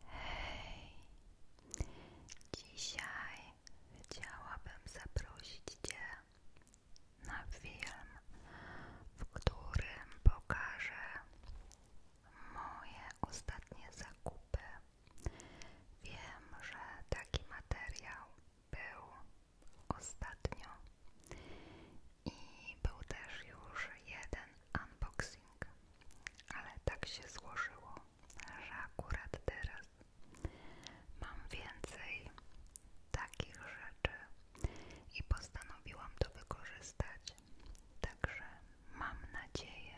Hej, dzisiaj chciałabym zaprosić Cię na film, w którym pokażę moje ostatnie zakupy. Wiem, że taki materiał był ostatnio i był też już jeden unboxing, ale tak się złożyło, że akurat teraz mam więcej takich rzeczy i postanowiłam to wykorzystać. Także mam nadzieję,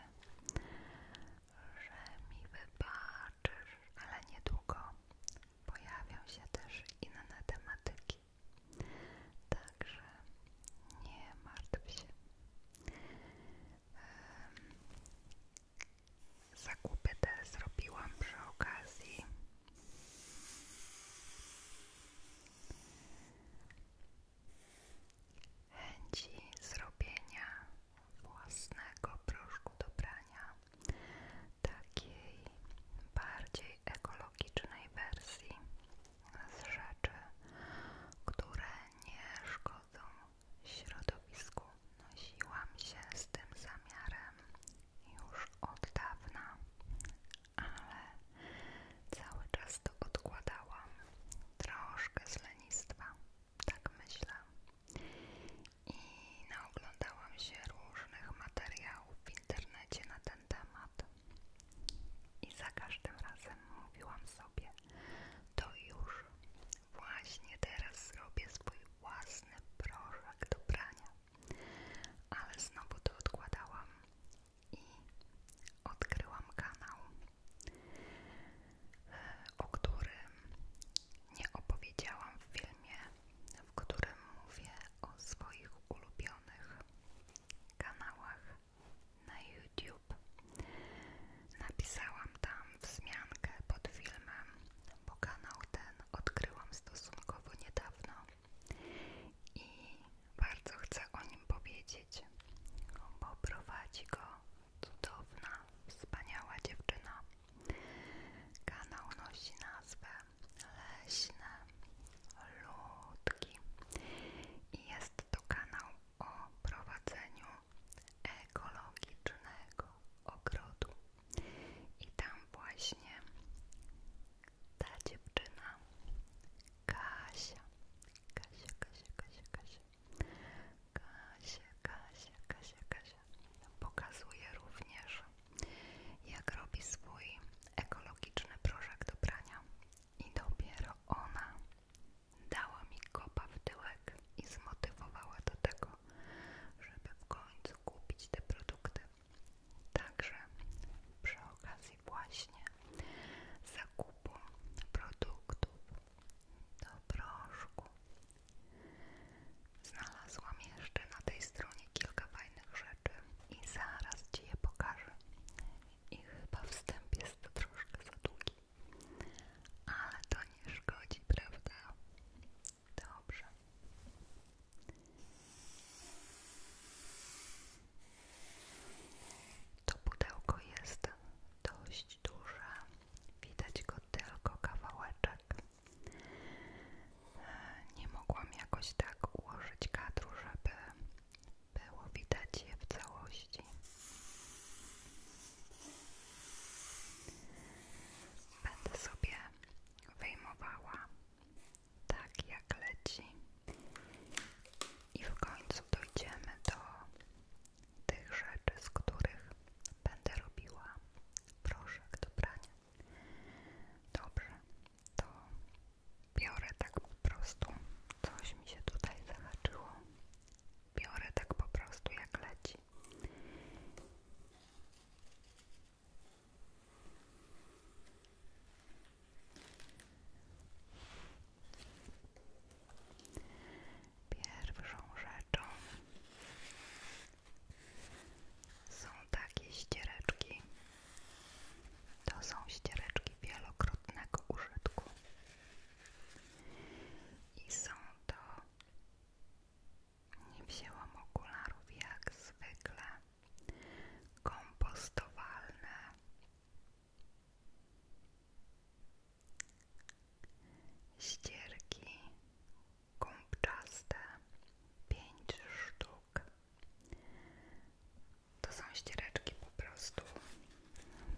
że mi wybaczysz, ale niedługo pojawią się też inne tematyki. Także nie martw się. Zakupy te zrobiłam przy okazji. Chęci zrobienia własnego proszku do prania, takiej bardziej ekologicznej wersji, z rzeczy, które nie szkodzą środowisku. Nosiłam się z tym zamiarem już od dawna, ale cały czas to odkładałam. Troszkę z lenistwa, tak myślę. I naoglądałam się różnych materiałów w internecie na temat i za każdym razem mówiłam sobie, to już właśnie teraz zrobię swój własny proszek do prania. Ale znowu to odkładałam i odkryłam kanał, e, o którym nie opowiedziałam w filmie, w którym mówię o swoich ulubionych kanałach na YouTube. Napisałam tam wzmiankę pod filmem, bo kanał ten odkryłam stosunkowo niedawno i bardzo chcę o nim powiedzieć, bo prowadzi go cudowna, wspaniała dziewczyna. Kanał nosi nazwę Leśne Ludki i jest jest to kanał o prowadzeniu ekologicznego ogrodu. I tam właśnie ta dziewczyna Kasia, Kasia, Kasia, Kasia, Kasia, Kasia, Kasia, Kasia, Kasia pokazuje również jak robi swój ekologiczny proszek do prania i dopiero ona dała mi kopa w tyłek i zmotywowała do tego, żeby w końcu kupić te produkty. Także przy okazji właśnie zakupu produktów do proszku znalazłam jeszcze na tej stronie kilka fajnych rzeczy i zaraz Ci je pokażę i chyba wstęp jest troszkę za długi, ale to nie szkodzi, prawda? Dobrze. To pudełko jest dość duże, widać go tylko kawałeczek. E, nie mogłam jakoś tak ułożyć kadru, żeby było widać je w całości. Będę sobie wyjmowała tak jak leci i w końcu dojdziemy do tych rzeczy, z których będę robiła Proszę, dobranie. Dobrze, to biorę tak po prostu, coś mi się tutaj zahaczyło, biorę tak po prostu jak leci. Pierwszą rzeczą są takie ściereczki. To są ściereczki wielokrotnego użytku. I są to. Nie wzięłam okularów jak zwykle. Kompostowalne. Ścierki gąbczaste, pięć sztuk. To są ściereczki po prostu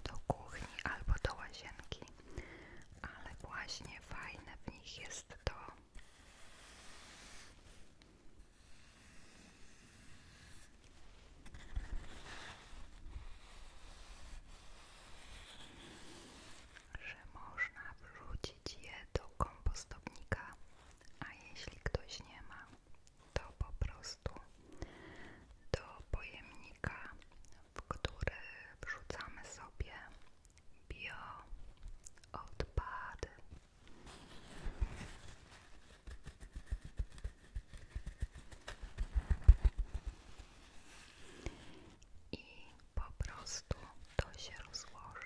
do kuchni albo do łazienki, ale właśnie fajne w nich jest to, że można wrzucić je do kompostownika, a jeśli ktoś nie ma, to po prostu do pojemnika, w który wrzucamy sobie bio odpady. I po prostu to się rozłoży.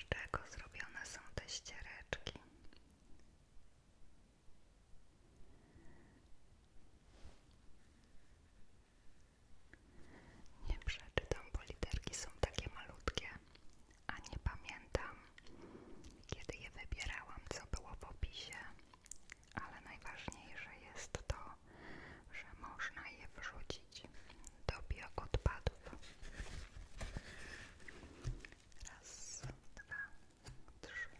Z czego zrobione są te ściereczki? Nie przeczytam, bo literki są takie malutkie, a nie pamiętam, kiedy je wybierałam, co było w opisie, ale najważniejsze jest to, że można je wrzucić do bioodpadów. Raz, dwa, trzy,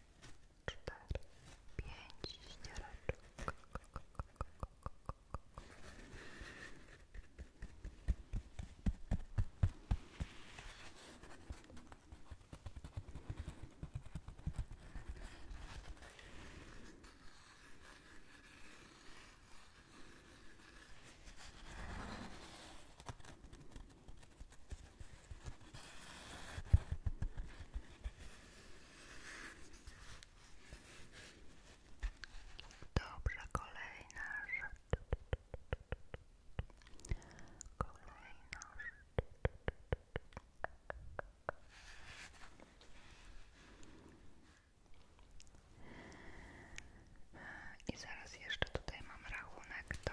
cztery, pięć Dobrze, kolejna rzecz. Kolejna i zaraz jeszcze tutaj mam rachunek, to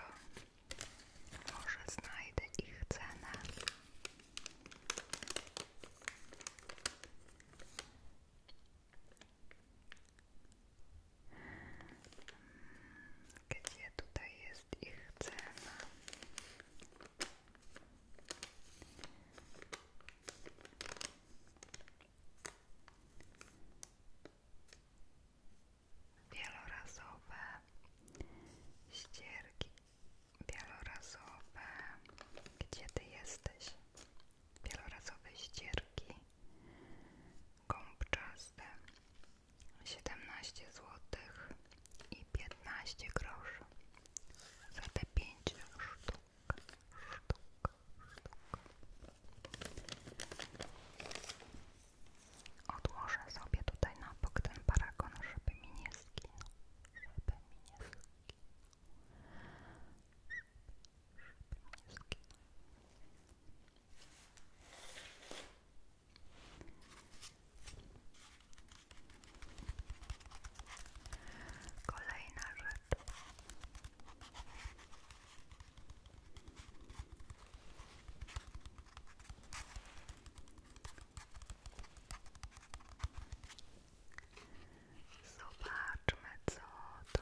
może znajdę ich cenę. Gdzie tutaj jest ich cena? Wielorazowe ścierki, wielorazowe, gdzie ty jesteś? Wielorazowe ścierki, gąbczaste, 17 złotych i 15 groszy za te pięć sztuk, sztuk, sztuk. Odłożę sobie tutaj na bok ten paragon, żeby mi nie zginął, żeby mi nie zginął. Żeby, żeby zginął. Kolejna rzecz. Zobaczmy, co tu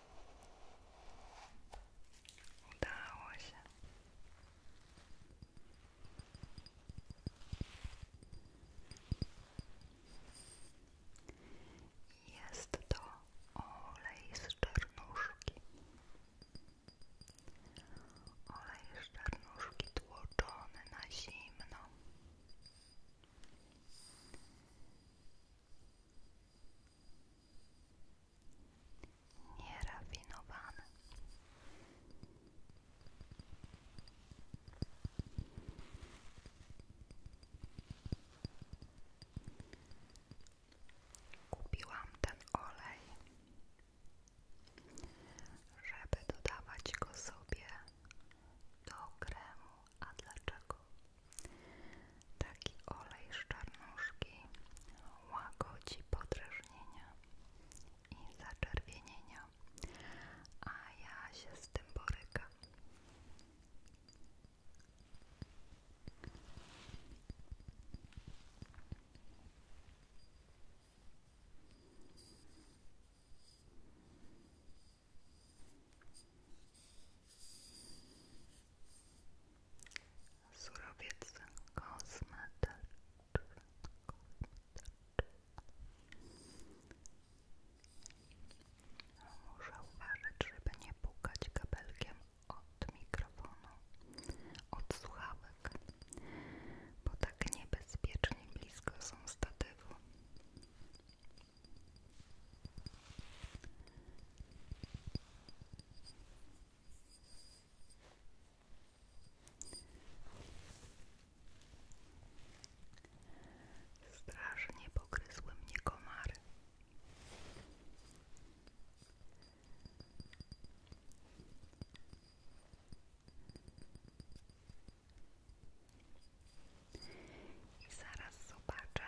Udało się. Jest to olej z czarnuszki. Olej z czarnuszki tłoczony na zimno. Nierafinowany. Kupiłam ten olej, żeby dodawać go sobie do kremu. A dlaczego? Taki olej z czarnuszki łagodzi podrażnienia i zaczerwienienia, a ja się z tym borykam. Surowiec kosmetyczny. Muszę uważać, żeby nie pukać kabelkiem od mikrofonu, od słuchawek, bo tak niebezpiecznie blisko są statywu. Strasznie pogryzły mnie komary. I zaraz zobaczę,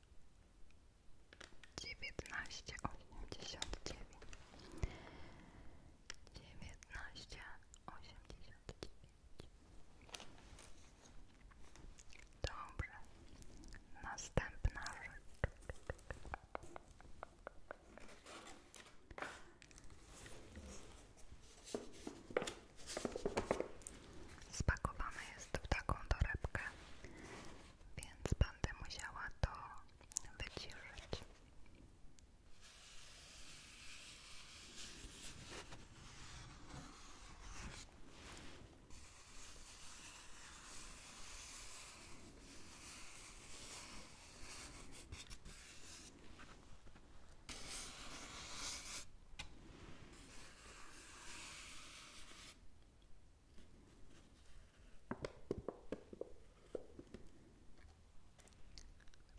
dziewiętnaście osiemdziesiąt dziewięć dziewiętnaście osiemdziesiąt dziewięć Dobrze, następna rzecz Spakowane jest w taką torebkę, więc będę musiała to wyciszyć.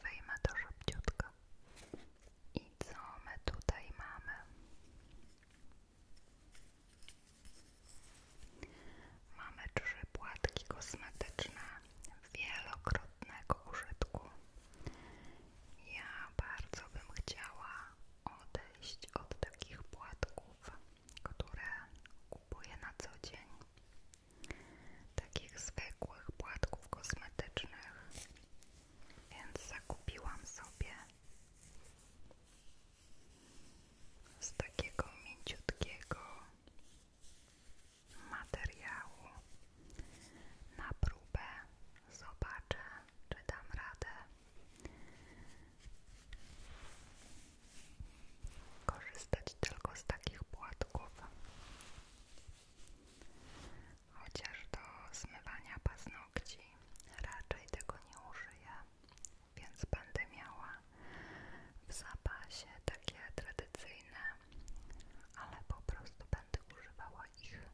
Wyjmę to szybciutko. I co my tutaj mamy? Mamy trzy płatki kosmetyczne wielokrotnego użytku. Ja bardzo bym chciała odejść od takich płatków, które kupuję na co dzień, takich zwykłych płatków kosmetycznych, więc zakupiłam sobie z takiego mięciutkiego materiału na próbę zobaczę czy dam radę korzystać tylko z takich płatków. Chociaż do smywania paznokci raczej tego nie użyję, więc będę miała w zapasie takie tradycyjne, ale po prostu będę używała ich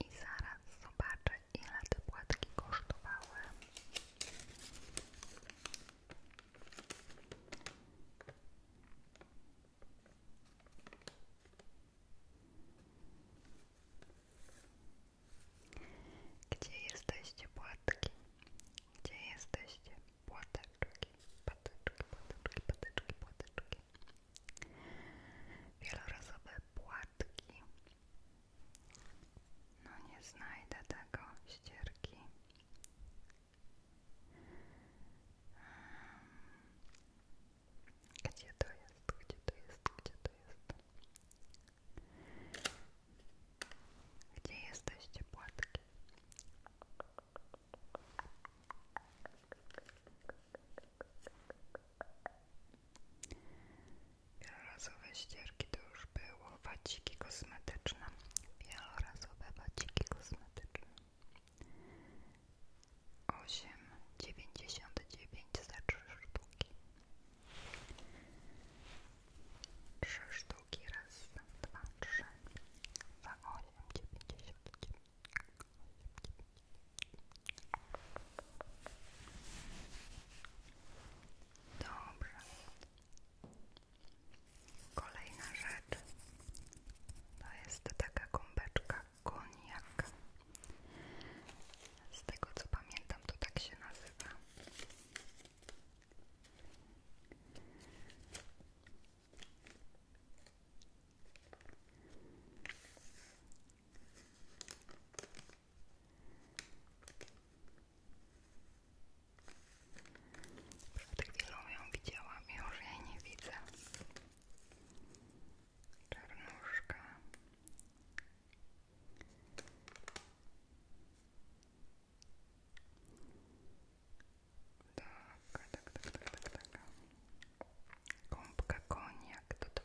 I zaraz zobaczę, ile te płatki kosztowały. Gdzie jesteście płatki? Gdzie jesteście płateczki? Patyczki, płateczki, patyczki, płateczki. Wielorazowe płatki. No nie znajdę tego ścierki. Gdzie to jest? Gdzie to jest? Gdzie to jest? Gdzie jesteście płatki? Wielorazowe ścierki to już były waciki kosmetyczne. Wielorazowe waciki kosmetyczne. 8,99 za 3 sztuki. Trzy sztuki raz, dwa, trzy za osiem dziewięćdziesiąt. Dobrze. Kolejna rzecz to jest taka gąbeczka koniak. Z tego co pamiętam, to tak się nazywa. Przed chwilą ją widziałam, już jej nie widzę. Czarnuszka. Tak, tak, tak, tak, tak, tak. Gąbka koniak do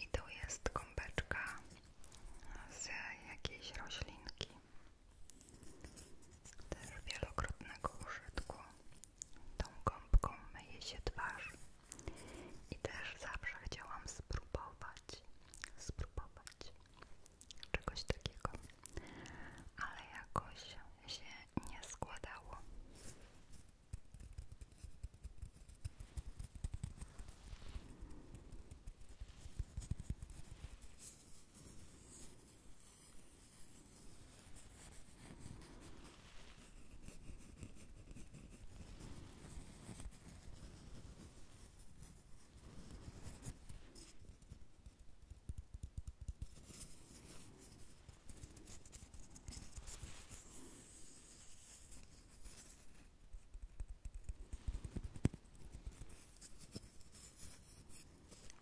I tu jest gąbeczka z jakiejś roślinki. Też wielokrotnego użytku. Tą gąbką myję się twarz i też zawsze chciałam spróbować, spróbować czegoś takiego, ale jakoś się nie składało.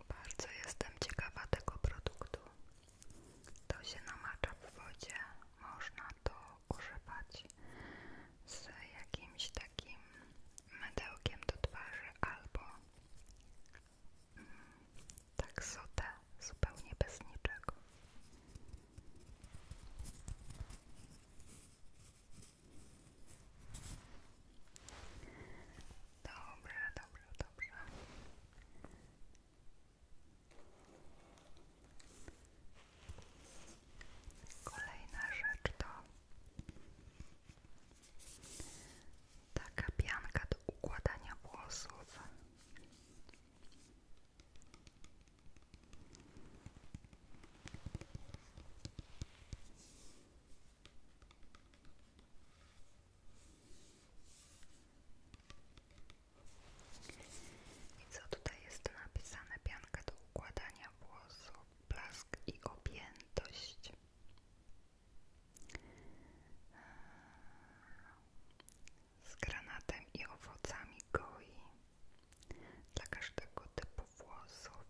Bardzo jestem ciekawa tego produktu to się namacza w wodzie, można to używać z jakimś takim mydełkiem do twarzy albo mm, tak sotę, zupełnie bez niczego. Dobrze, dobrze, dobrze. Kolejna rzecz to taka pianka do układania włosów. I co tutaj jest napisane? Bianka do układania włosów, blask i objętość. Z granatem i owocami goi dla każdego typu włosów.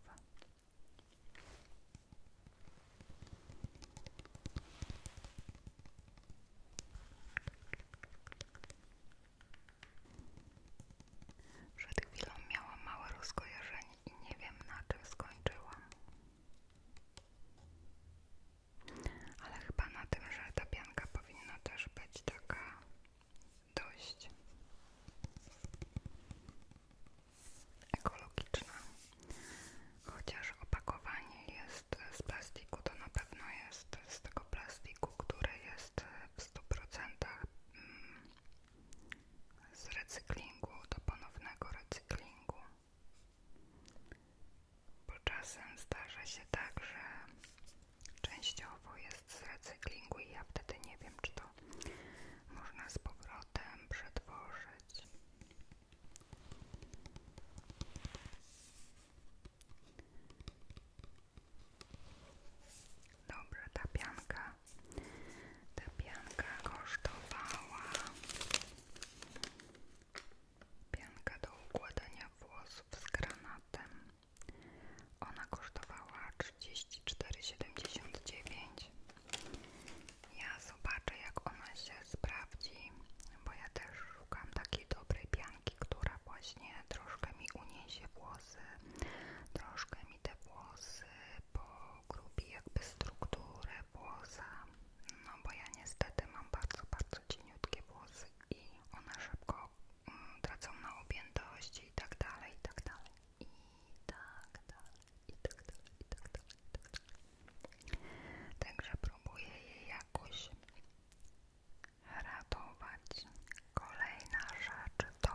Przed chwilą miała małe rozkojarzenie i nie wiem na czym skończyła, Ale chyba na tym, że ta pianka powinna też być taka dość ekologiczna. Chociaż opakowanie jest z plastiku, to na pewno jest z tego plastiku, które jest w 100% mm, z recyklingu, do ponownego recyklingu. Bo czasem zdarza się tak, że częściowo jest z recyklingu i ja wtedy nie wiem, czy to można z powrotem przetworzyć. Dobra, ta pianka, ta pianka kosztowała pianka do układania włosów z granatem. Ona kosztowała cztery siedemdziesiąt dziewięć Ja zobaczę, jak ona się sprawdzi, bo ja też szukam takiej dobrej pianki, która właśnie troszkę mi uniesie włosy, troszkę mi te włosy pogrubi jakby strukturę włosa, no bo ja niestety mam bardzo, bardzo cieniutkie włosy i one szybko mm, tracą na objętości tak i tak dalej, i tak dalej, i tak dalej, i tak dalej, i tak dalej, Także próbuję je jakoś radować. Kolejna rzecz to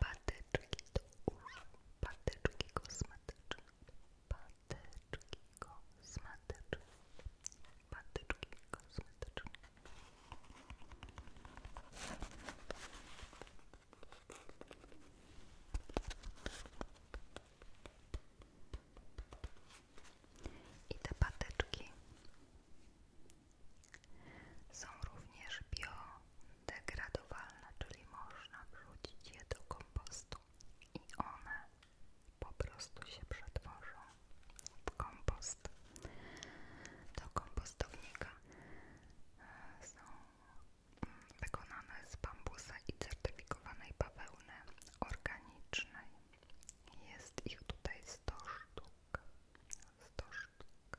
patyczki do uszu, patyczki kosmetyczne, patyczki kosmetyczne, patyczki kosmetyczne. I te patyczki są również biodegradowalne, czyli można wrzucić je do kompostu i one po prostu się przetworzą w kompost. Do kompostownika e, są wykonane z bambusa i certyfikowanej bawełny organicznej. Jest ich tutaj 100 sztuk. 100 sztuk.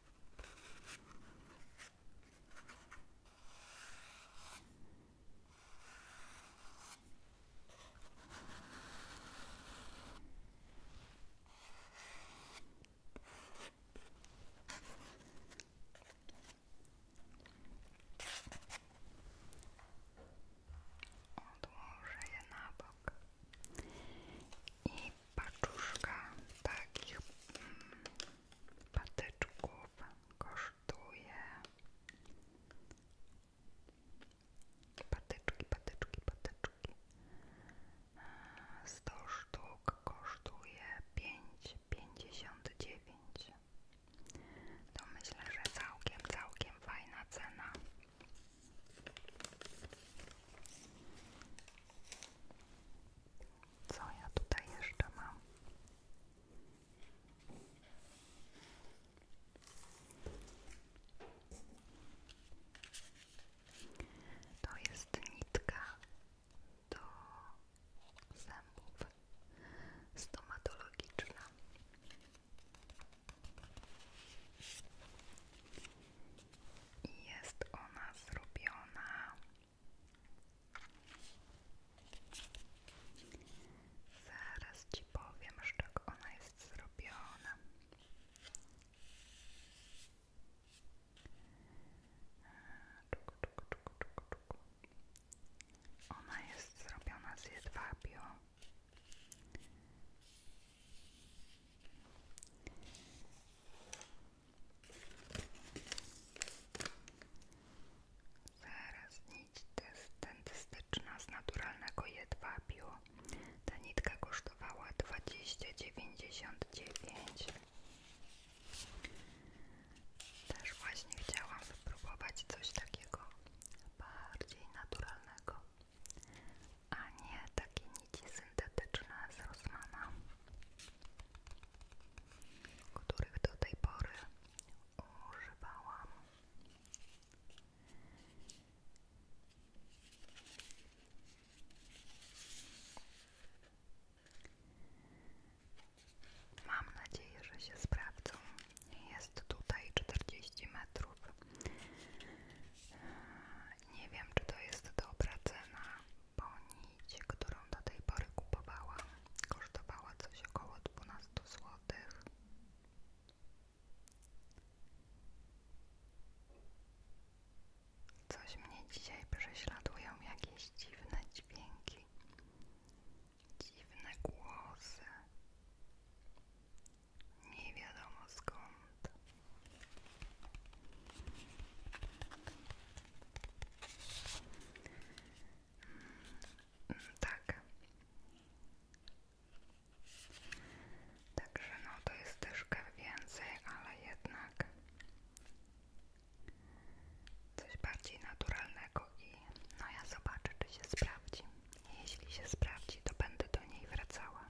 Он уже на бок и paczuszka takich mm, patyczków kosztuje patyczki, patyczki, patyczki 100 sztuk kosztuje 5,59 to myślę, że całkiem, całkiem fajna cena co ja tutaj jeszcze mam? To jest nitka do zębów stomatologiczna i jest ona zrobiona zaraz Ci powiem że czego ona jest zrobiona ona jest zrobiona z jedwabiu Zaraz nić dentystyczna z naturalnego jedwabiu. Ta nitka kosztowała 20,99. Też właśnie chciałam wypróbować coś takiego bardziej naturalnego a nie takie nici syntetyczne z Rossmana, których do tej pory używałam. Mam nadzieję, że się sprawdzą. Jest tutaj czterdzieści metrów. Nie wiem, czy to jest dobra cena. Ponit, którą do tej pory kupowałam, kosztowała coś około 12 zł. Coś mnie dzisiaj prześladują jakieś dziwne dźwięki, dziwne głosy. Nie wiadomo skąd. Tak. Także no to jest troszkę więcej, ale jednak coś bardziej naturalnego i no ja zobaczę czy się sprawdzi. Jeśli się sprawdzi, to będę do niej wracała.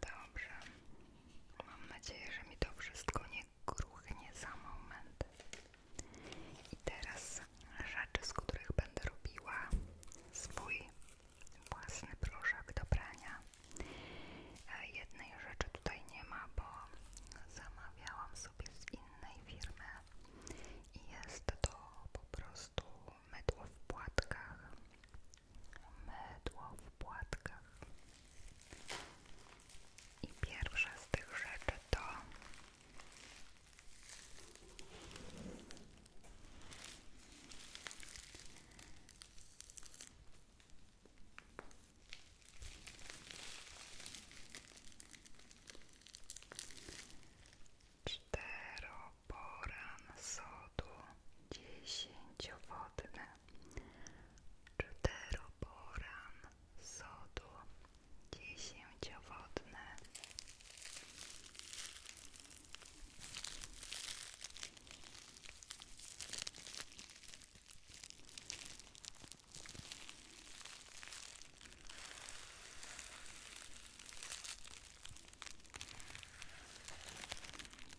Dobrze. Mam nadzieję, że mi to wszystko nie gruchnie za moment. I teraz rzeczy, z których będę robiła swój własny proszek do prania. E, jednej rzeczy tutaj nie ma, bo zamawiałam sobie z innej firmy i jest to po prostu mydło w płatkach mydło w płatkach. I pierwsza z tych rzeczy to Czteroboran sodu dziesięciowodny czteroboran sodu dziesięciowodny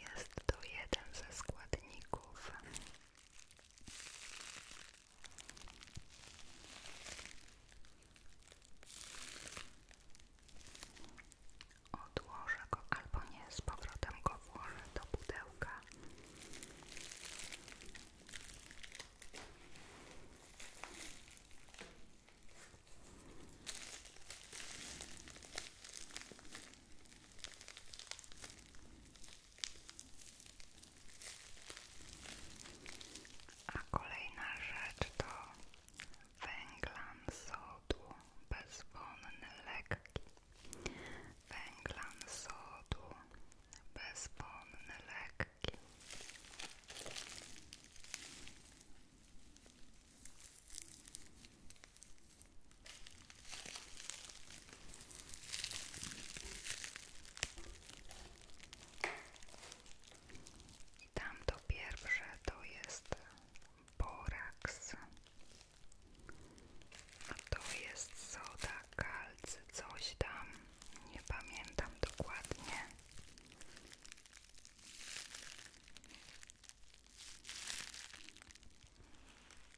Jest to jeden ze składników odłożę go albo nie, z powrotem go włożę do pudełka a kolejna rzecz to węglan sodu bezwonny lekki. Węglan sodu bezwonny lekki. I tamto pierwsze to jest boraks, a to jest soda, kalcy, coś tam, nie pamiętam dokładnie.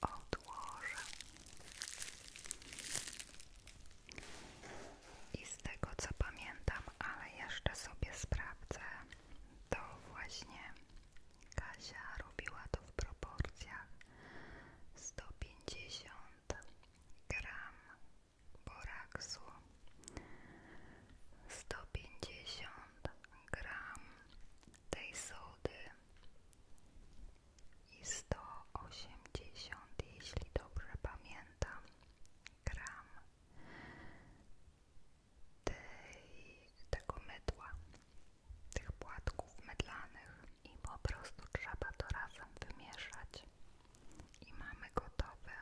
Odłożę i z tego co pamiętam, ale jeszcze sobie sprawdzę, to właśnie Kasia robiła to w proporcjach 150 gram boraksu, 150 gram tej sody i 180, jeśli dobrze pamiętam, gram tego mydła, tych płatków mydlanych i po prostu trzeba to razem wymieszać i mamy gotowy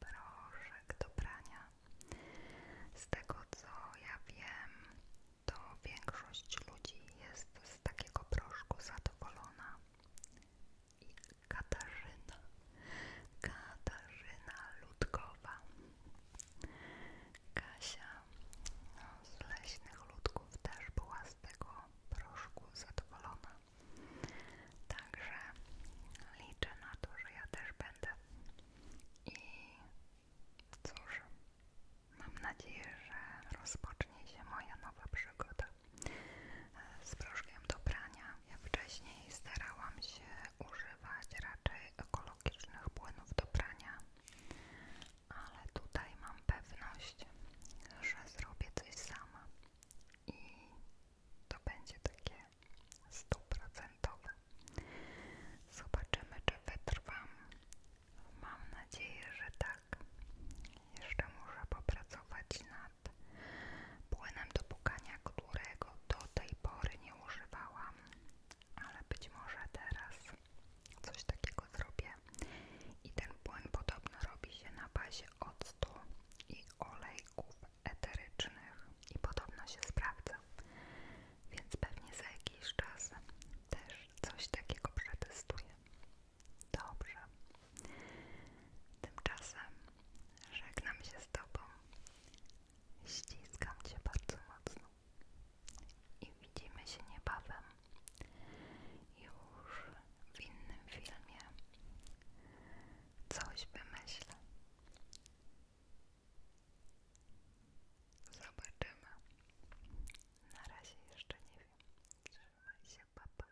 proszek do brania. Z tego co ja wiem, to większość ludzi jest z takiego proszku zadowolona. I Katarzyna, Katarzyna Ludkowa Kasia no, z leśnych ludków też była z tego proszku zadowolona. Także liczę na to, że ja też będę. I cóż, mam nadzieję, że rozpocznie się moja nowa przygoda e, z proszkiem do prania. Ja wcześniej starałam się używać raczej ekologicznych ekologicznych płynów do brania, ale tutaj mam pewność, że zrobię coś sama i to będzie takie stuprocentowe. Zobaczymy, czy wytrwam. Mam nadzieję, że tak. Jeszcze muszę popracować nad płynem do pukania, którego do tej pory nie używałam ale być może teraz coś takiego zrobię i ten płyn podobno robi się na bazie octu i olejków eterycznych i podobno się sprawdza, więc pewnie za jakiś czas też coś takiego przetestuję. Dobrze. Tymczasem żegnam się z Tobą. Ściskam Cię bardzo mocno i widzimy się niebawem już w innym filmie. Coś wymyślę. Zobaczymy. Na razie jeszcze nie wiem. Trzymaj się, papa.